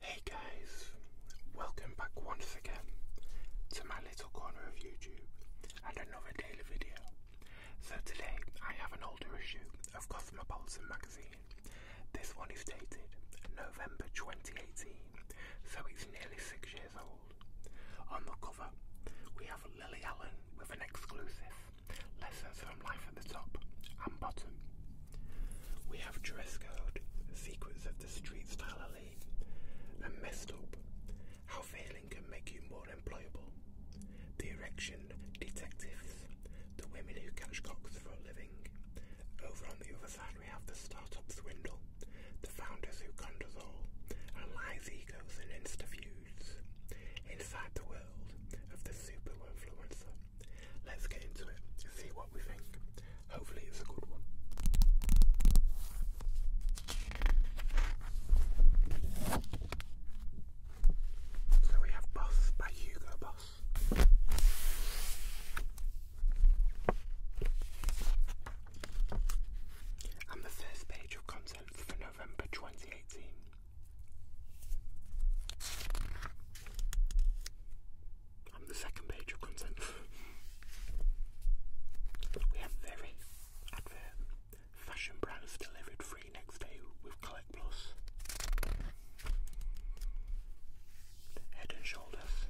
Hey guys, welcome back once again to my little corner of YouTube and another daily video. So today I have an older issue of Cosmopolitan magazine. This one is dated November 2018, so it's nearly six years old. On the cover, we have Lily Allen with an exclusive Lessons from Life at the top and bottom. We have Dress Code, Secrets of the Street Style Elite, and Messed Up, How Failing Can Make You More Employable, The Erection Detectives, The Women Who Catch Cocks for a Living. Over on the other side, we have The Startup Swindle, The Founders Who Conned Us All, and Lies, Egos, in Instafuse foods inside the world of the super influencer. Let's get into it see what we think. Hopefully, it's a good one. So we have Boss by Hugo Boss. And the first page of content 10th for November 2018. On the second page of content, we have very advert. Fashion brands delivered free next day with Collect Plus. Head and shoulders.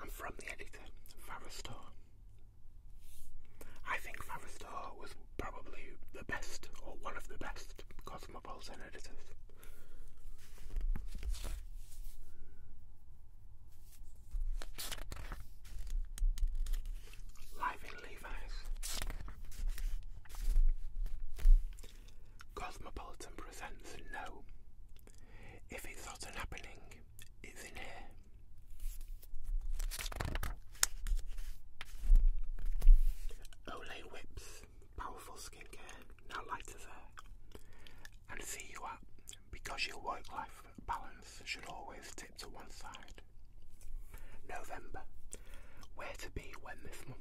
I'm from the editor, Farastor. I think Farastor was probably the best, or one of the best, cosmopolitan editors. Live in Levi's. Cosmopolitan presents No if it's not happening, it's in here. Olay Whips, powerful skincare, now lighter there. And see you at, because your work-life balance should always tip to one side. November, where to be when this month?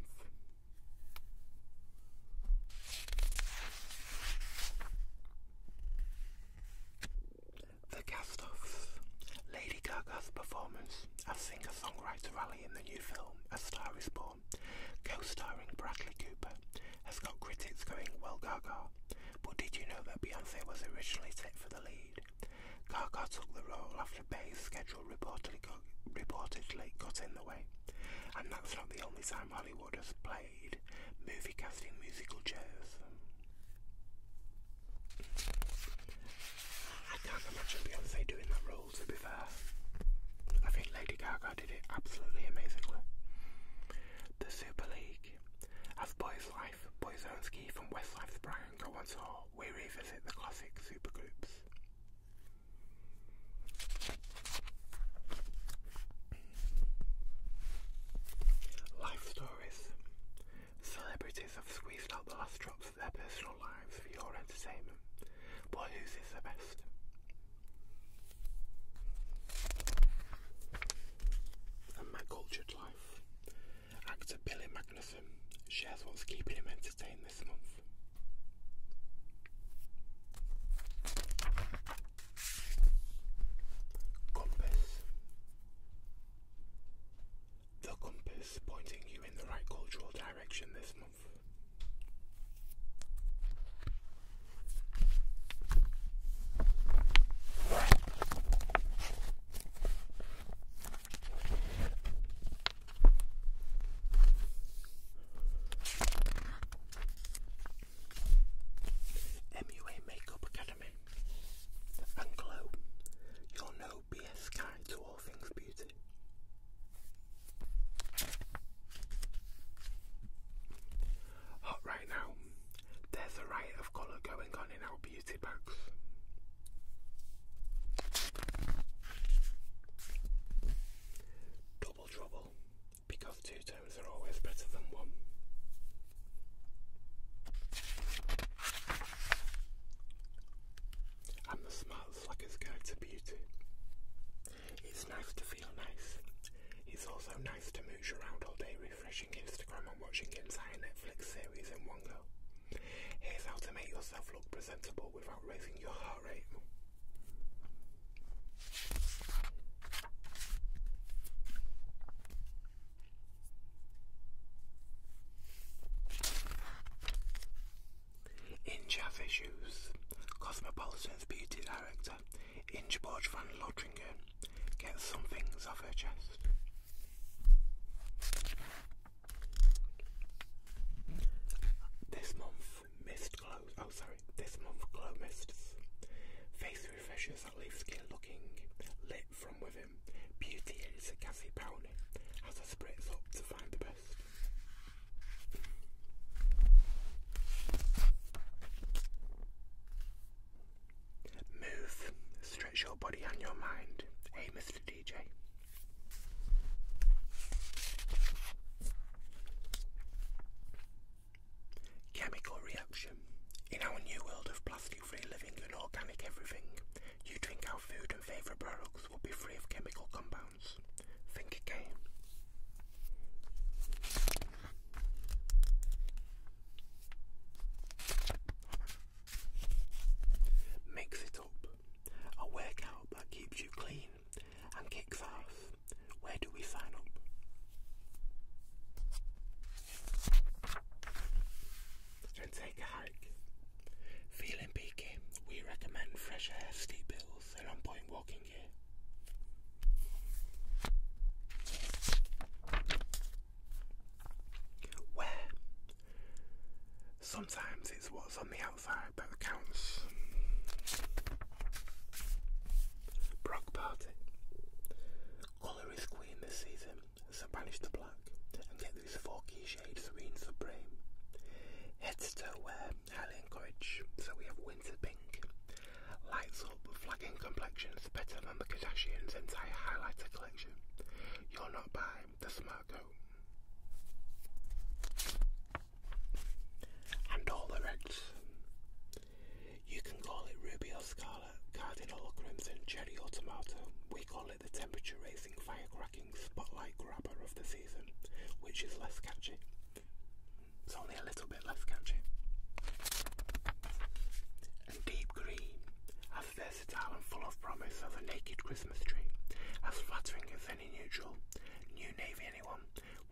The cast Lady Gaga's performance as singer-songwriter Riley in the new film A Star Is Born, co-starring Bradley Cooper, has got critics going, well Gaga, but did you know that Beyonce was originally set for the lead? Gaga took the role after Bay's schedule reportedly reportedly got in the way. And that's not the only time Hollywood has played movie casting musical chairs. I can't imagine Beyonce doing that role to be fair. I think Lady Gaga did it absolutely amazingly. The Super League. of Boys Life, ski from Westlife's Brian go on tour, we revisit the classic supergroups. Life stories. Celebrities have squeezed out the last drops of their personal lives for your entertainment, but whose the best? And my cultured life. Actor Billy Magnuson shares what's keeping him entertained this month. Compass. The compass pointing you in the right cultural direction this month. MUA Makeup Academy and Glow, your no BS guide to all things beauty. Hot right now, there's a riot of colour going on in our beauty box. Double trouble because two tones are always better than one. And the smart's like his guide to beauty. It's nice to feel nice. It's also nice to mooch around all day refreshing Instagram and watching entire Netflix series in one go. Here's how to make yourself look presentable without raising your heart rate. Inge Issues, Cosmopolitan's beauty director, Ingeborg van Lodringen, gets some things off her chest. This month, mist glows, oh sorry, this month glow mists. Face refreshers that leave skin looking lit from within. Beauty is a gassy brownie as I spritz up to find the best. Move, stretch your body and your mind. Hey Mr. DJ. Chemical reaction. In our new world of plastic free living and organic everything, you drink our food and favourite products will be free of chemical compounds. Think again. Mix it up. A workout that keeps you clean and kicks off. Where do we sign up? And take a hike. Feeling peaky, we recommend fresh air, steep hills, and on point walking gear. Where? Sometimes it's what's on the campfire by the counts. Brock Party. Colour is queen this season, so banish the black and get these four key shades serene supreme. Head to toe wear, highly encouraged, so we have winter pink. Lights up, flagging complexion. It's better than the Kardashians' entire highlighter collection. You're not by the smart goat and all the reds. You can call it ruby or scarlet, cardinal or crimson, cherry or tomato. We call it the temperature raising, fire-cracking, spotlight grabber of the season, which is less catchy. It's only a little bit less catchy. And deep green, as versatile and full of promise as a naked Christmas tree, as flattering as any neutral, new navy anyone,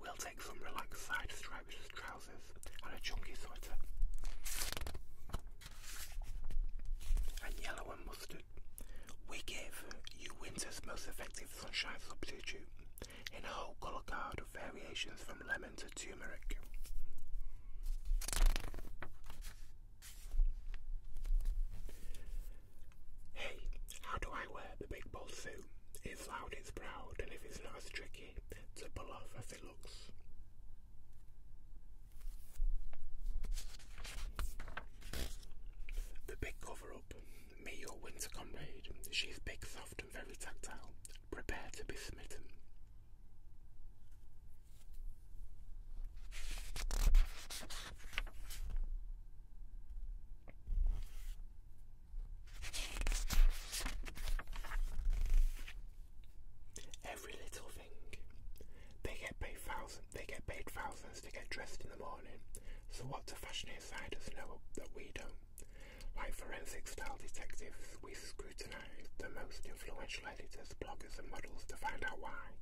we'll take some relaxed side stripes striped trousers and a chunky sweater. And yellow and mustard. We give you winter's most effective sunshine substitute in a whole colour card of variations from lemon to turmeric. Hey, how do I wear the big bold suit? It's loud, it's proud, and if it's not as tricky to pull off as it looks. The big cover up. Me, your winter comrade. She's big, soft, and very tactile. Prepare to be smitten. Every little thing. They get paid thousands. They get paid thousands to get dressed in the morning. So what do fashion insiders know that we don't? Like forensic-style detectives, we scrutinise the most influential editors, bloggers, and models to find out why.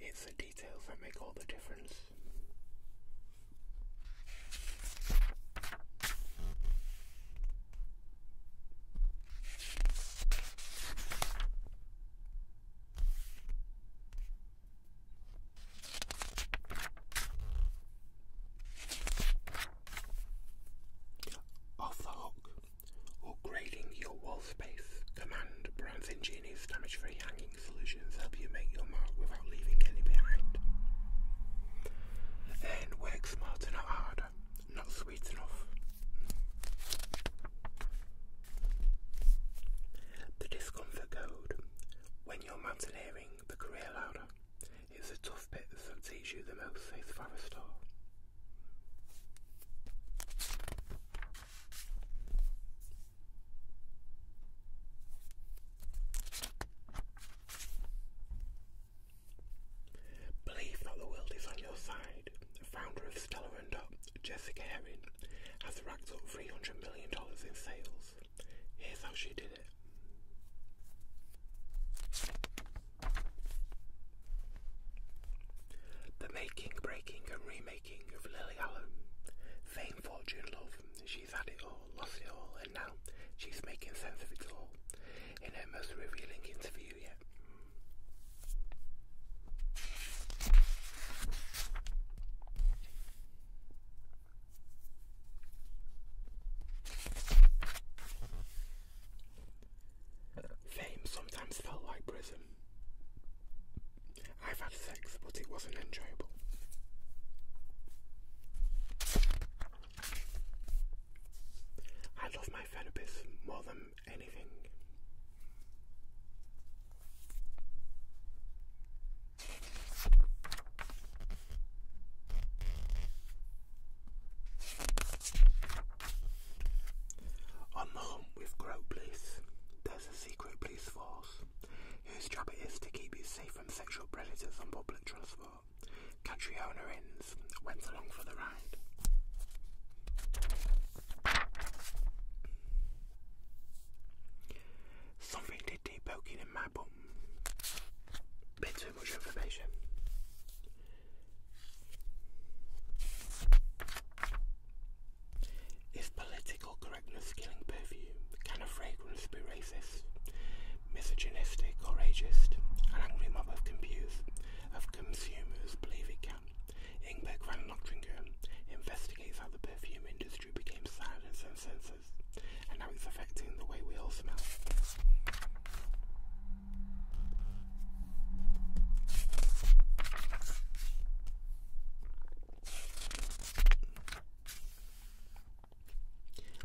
It's the details that make all the difference. Off the hook or grading your wall space. Command brands ingenious damage-free hanging solutions help you make your mark without leaving any behind. Then work smarter, not harder, not sweet enough. The discomfort code. When you're mountaineering, the career ladder It's the tough bits that teach you the most, says Forrestor. Believe Not the World Is On Your Side, founder of Stella and Dot, Jessica Herring, has racked up $300 million in sales. Here's how she did it. The making, breaking and remaking making of Lily Allen. Fame, fortune, love. She's had it all, lost it all, and now she's making sense of it all in her most revealing interview yet. Fame sometimes felt like prison. I've had sex, but it wasn't enjoyable. I love my therapist more than anything. On the hunt with Grow secret police force whose job it is to keep you safe from sexual predators on public transport. Catriona Inns went along for the ride. Something did deep in my bum. Bit too much information. Is political correctness killing perfume? Can a fragrance be racist, misogynistic or ageist? An angry mob of, compuse, of consumers believe it can. Ingeborg van investigates how the perfume industry became silenced and censored, and how it's affecting the way we all smell.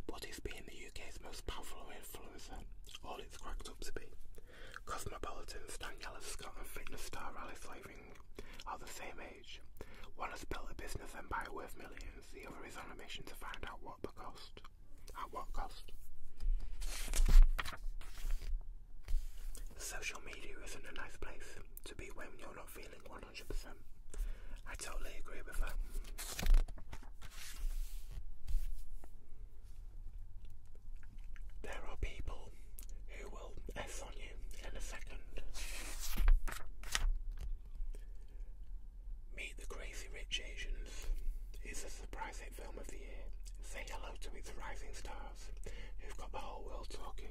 What is being the UK's most powerful influencer? All it's cracked up to be. Cosmopolitan, Daniela Scott and fitness star Alice slaving. are the same age. One has built a business empire worth millions, the other is on a mission to find out what the cost. At what cost? Social media isn't a nice place to be when you're not feeling 100%. I totally agree with that. There are people who will S on you in a second. Meet the Crazy Rich Asians is a surprise hit film of the year. Say hello to its rising star, You've got the whole world talking.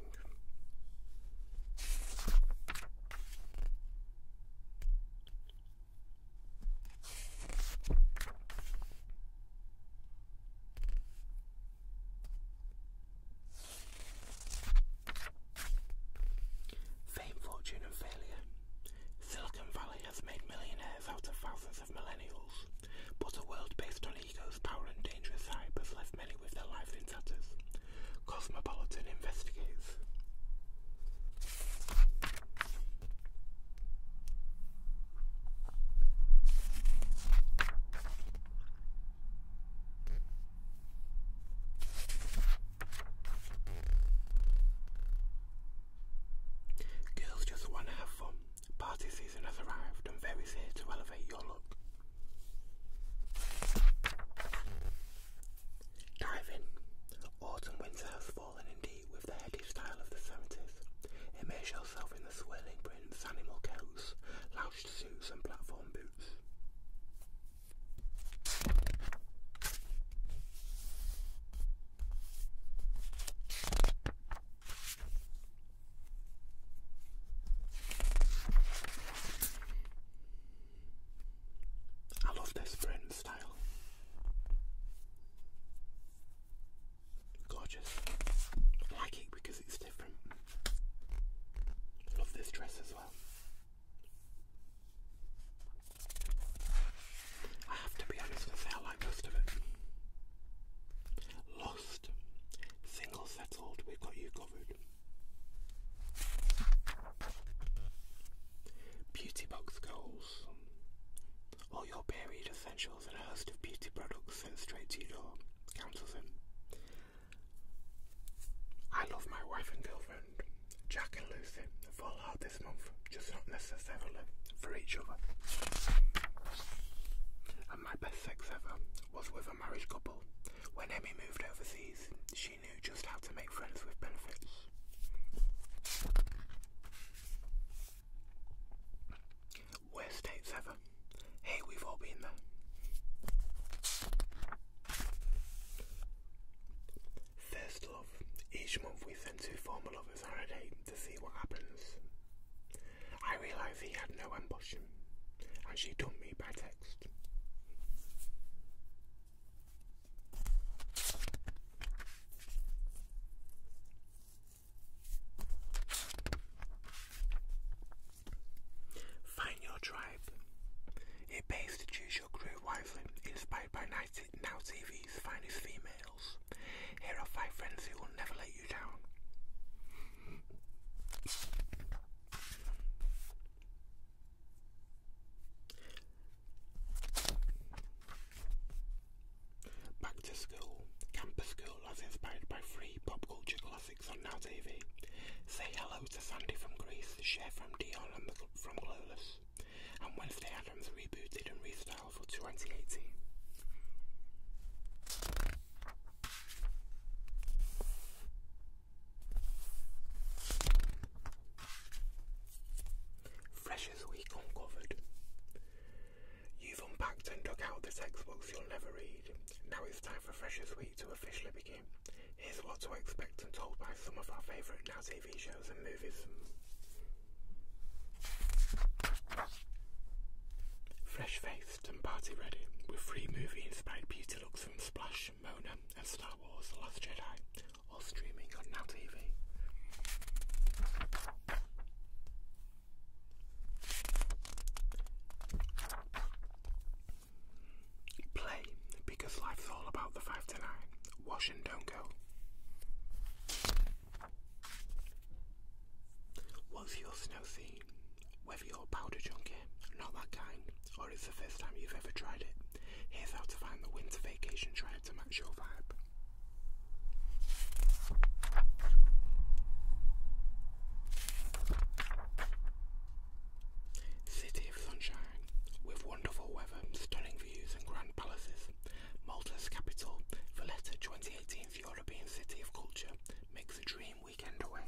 Fame, fortune, and failure. Silicon Valley has made millionaires out of thousands of millennials. But a world based on ego's power and dangerous hype has left many with their lives in tatters. Cosmopolitan investigates. Girls just want to have fun. Party season has arrived and there is here to elevate your look. Dive in. Autumn winter has fallen indeed with the heady style of the 70s. Immerse yourself in the swirling prints, animal coats, lounged suits and platform boots. I love this print style. Gorgeous. like it because it's different. Love this dress as well. I have to be honest and say I like most of it. Single settled, we have got you covered. Beauty box goals. All your buried essentials and a host of beauty products sent straight to your door. Cancel I love my wife and girlfriend, Jack and Lucy. Fall hard this month, just not necessarily for each other. And my best sex ever was with a married couple. When Emmy moved overseas, she knew just how to make friends with benefits. Worst dates ever. Hey, we've all been there. First love. Each month we send two formal lovers on date to see what happens. I realised he had no ambition, and she dumped me by text. Find your tribe. It pays to choose your crew wisely, inspired by Now TV's finest female. Here are five friends who will never let you down. Back to School. Campus School, as inspired by three pop culture classics on Now TV. Say hello to Sandy from Greece, Cher from Dion and the, from Clueless. And Wednesday Adams rebooted and restarted for 2018. Freshers Week Uncovered. You've unpacked and dug out the textbooks you'll never read. Now it's time for Freshers Week to officially begin. Here's what to expect and told by some of our favourite now TV shows and movies. Fresh faced and party ready, with free movie inspired beauty looks from Splash, Mona, and Star Wars The Last Jedi, all streaming on Now TV. Play, because life's all about the 5 to 9. Wash and don't go. What's your snow scene? Whether you're a powder junkie, not that kind, or it's the first time you've ever tried it, here's how to find the winter vacation tribe to match your vibe. City of sunshine, with wonderful weather, stunning views and grand palaces, Maldives. Malta's capital, Valletta twenty eighteen European City of Culture, makes a dream weekend away.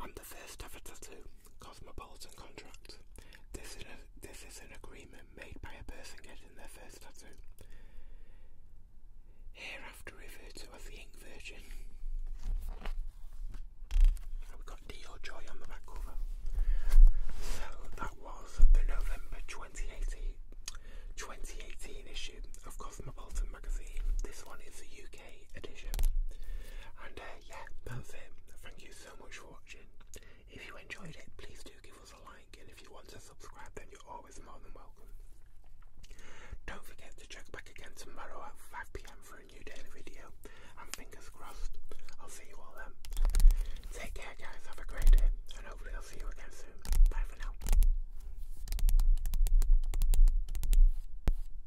I'm the first ever tattoo, Cosmopolitan Contract. This is, an agreement made by a person getting their first tattoo. Hereafter referred to as the Ink Virgin. And we've got D.O. Joy on the back cover. So that was the November 2018, issue of Cosmopolitan Magazine. This one is the UK edition. Uh, yeah, that's it. Thank you so much for watching. If you enjoyed it, please do give us a like, and if you want to subscribe, then you're always more than welcome. Don't forget to check back again tomorrow at 5pm for a new daily video, and fingers crossed, I'll see you all then. Take care guys, have a great day, and hopefully I'll see you again soon. Bye for now.